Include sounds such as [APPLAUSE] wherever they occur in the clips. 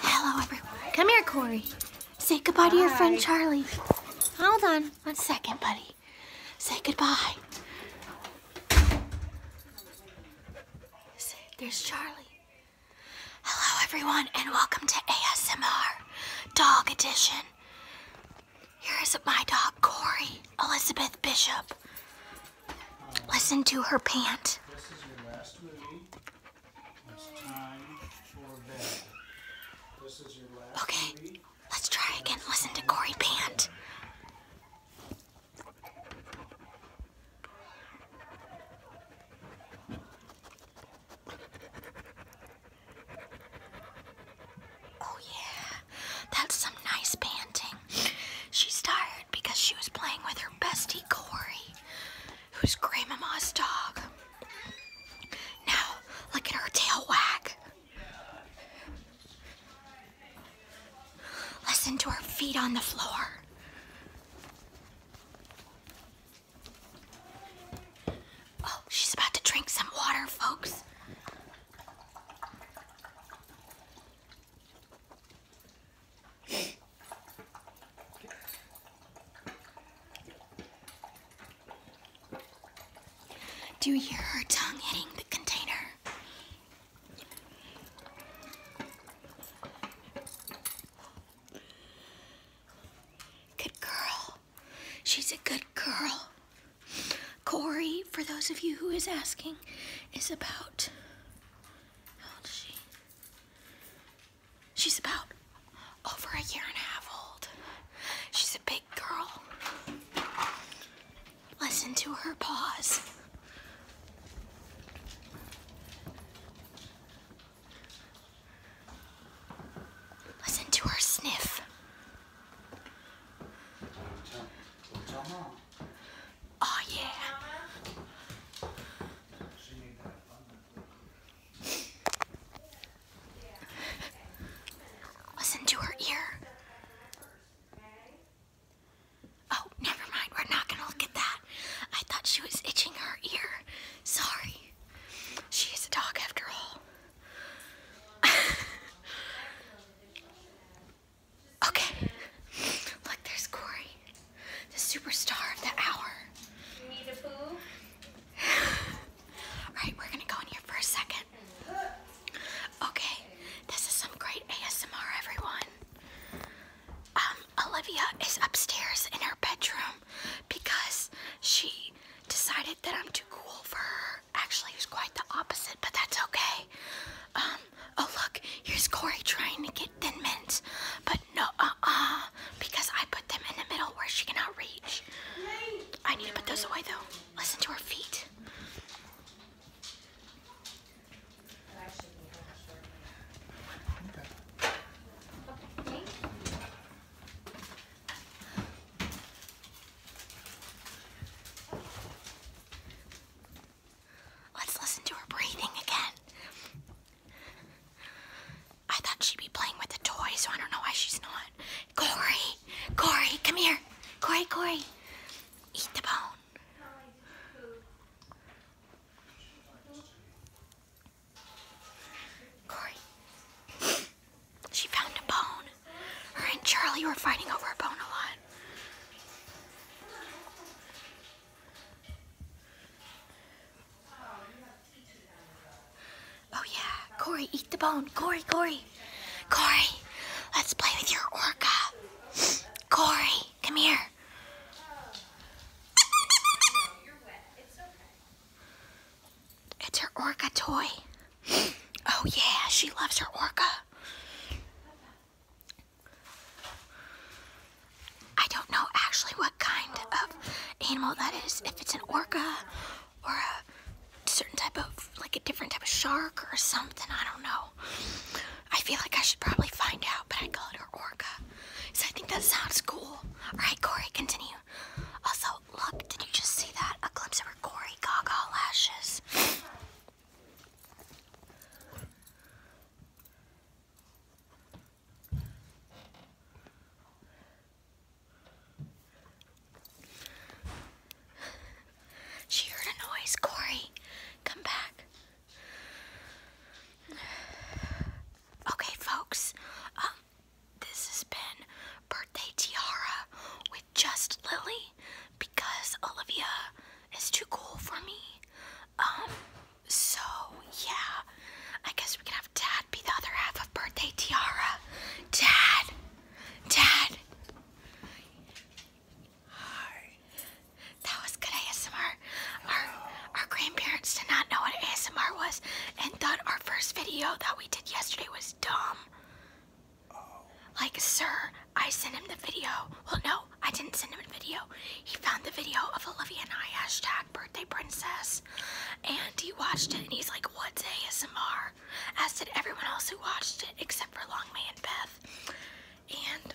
Hello, everyone. Come here, Corey. Say goodbye to your friend Charlie. Hold on one second, buddy. Say goodbye. there's Charlie. Hello, everyone, and welcome to ASMR Dog Edition. Here is my dog, Corey, Elizabeth Bishop. Listen to her pant. It's time for bed. This is your last Okay, let's try again. Listen to Corey pant. Oh yeah, that's some nice panting. She started because she was playing with her bestie Corey, who's Grandmama's dog. Now, look at her tail wag. Listen to her feet on the floor. Oh, she's about to drink some water, folks. Do you hear her tongue hitting the container? Good girl. She's a good girl. Corey, for those of you who is asking, is about. How she? She's about over a year and a half old. She's a big girl. Listen to her paws. Listen to her sniff. Oh yeah. Listen to her ear. Oh, never mind. We're not gonna look at that. I thought she was itching her ear. Sorry. She is a dog after all. [LAUGHS] okay. Look, there's Corey. The superstar of the hour. You [LAUGHS] we're gonna go in here for a second. Okay, this is some great ASMR, everyone. Um, Olivia is upstairs in her bedroom because she decided that I'm too cool for her. Actually, it was quite the opposite, but that's okay. Um, oh look, here's Corey trying to get like Mints, but no, uh-uh, because I put them in the middle where she cannot reach. I need to put those away, though. Listen to her feet. Let's listen to her breathing again. I thought she'd be playing with the toy, so I don't know why she's not. Corey! Corey, come here! Corey, Corey! Eat the bone. Corey. she found a bone. Her and Charlie were fighting over a bone a lot. Oh yeah, Corey, eat the bone. Corey, Corey. Corey, let's play with your orca. Corey, come here. It's her orca toy. Oh yeah, she loves her orca. I don't know actually what kind of animal that is. If it's an orca or a certain type of, like a different type of shark or something, I don't know. I feel like I should probably find out, but I call it her orca. So I think that sounds cool. All right, Corey, continue. Also, look, did you just see that? A glimpse of her gory Gaga lashes. She heard a noise, Corey. Come back. Okay, folks. Um, this has been Birthday Tiara with just Lily because Olivia is too cool for me. Um. So, yeah, I guess we can have Dad be the other half of Birthday Tiara. Dad! Dad! Hi. That was good ASMR. Our, our grandparents did not know what ASMR was and thought our first video that we did yesterday was dumb. Oh. Like, sir, I sent him the video. Well, no, I didn't send him a video. He found the video of Olivia and I hashtag birthday princess, and he watched it and he's like, "What's ASMR?" As did everyone else who watched it except for Long May and Beth. And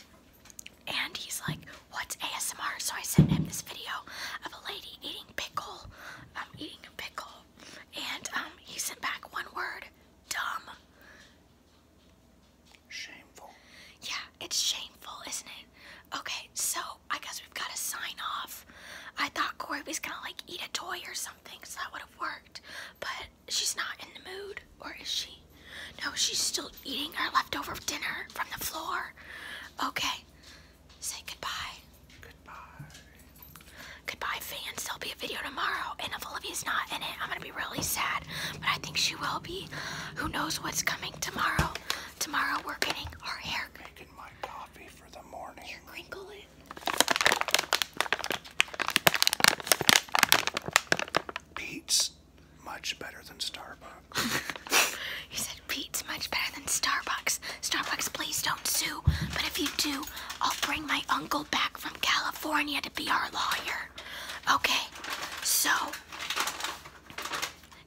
and he's like, "What's ASMR?" So I sent him this video of a lady eating pickle, I'm um, eating a pickle, and um, he sent back one word, dumb. Yeah, it's shameful, isn't it? Okay, so I guess we've got to sign off. I thought Corey was gonna like eat a toy or something, so that would have worked. But she's not in the mood, or is she? No, she's still eating her leftover dinner from the floor. Okay, say goodbye. Goodbye. Goodbye, fans. There'll be a video tomorrow, and if Olivia's not in it, I'm gonna be really sad. But I think she will be. Who knows what's coming tomorrow? tomorrow we're getting our hair. Making my coffee for the morning. Here, crinkle it. Pete's much better than Starbucks. [LAUGHS] he said Pete's much better than Starbucks. Starbucks, please don't sue. But if you do, I'll bring my uncle back from California to be our lawyer. Okay, so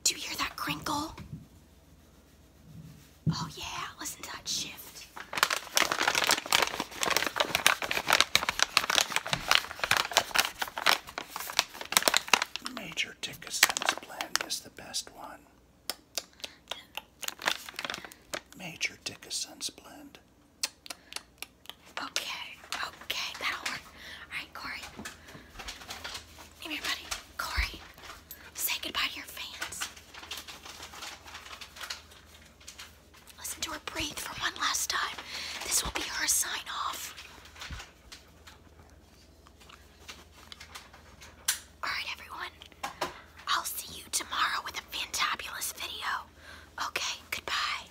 do you hear that crinkle? Oh yeah, listen to that shift. Major Dickerson's blend is the best one. Major Dickerson's blend. Okay, okay, that'll work. Alright, Corey. Come here, buddy. Corey, say goodbye to your fans. Listen to her breathe for one last time. This will be her sign off. Alright, everyone. I'll see you tomorrow with a fantabulous video. Okay, goodbye.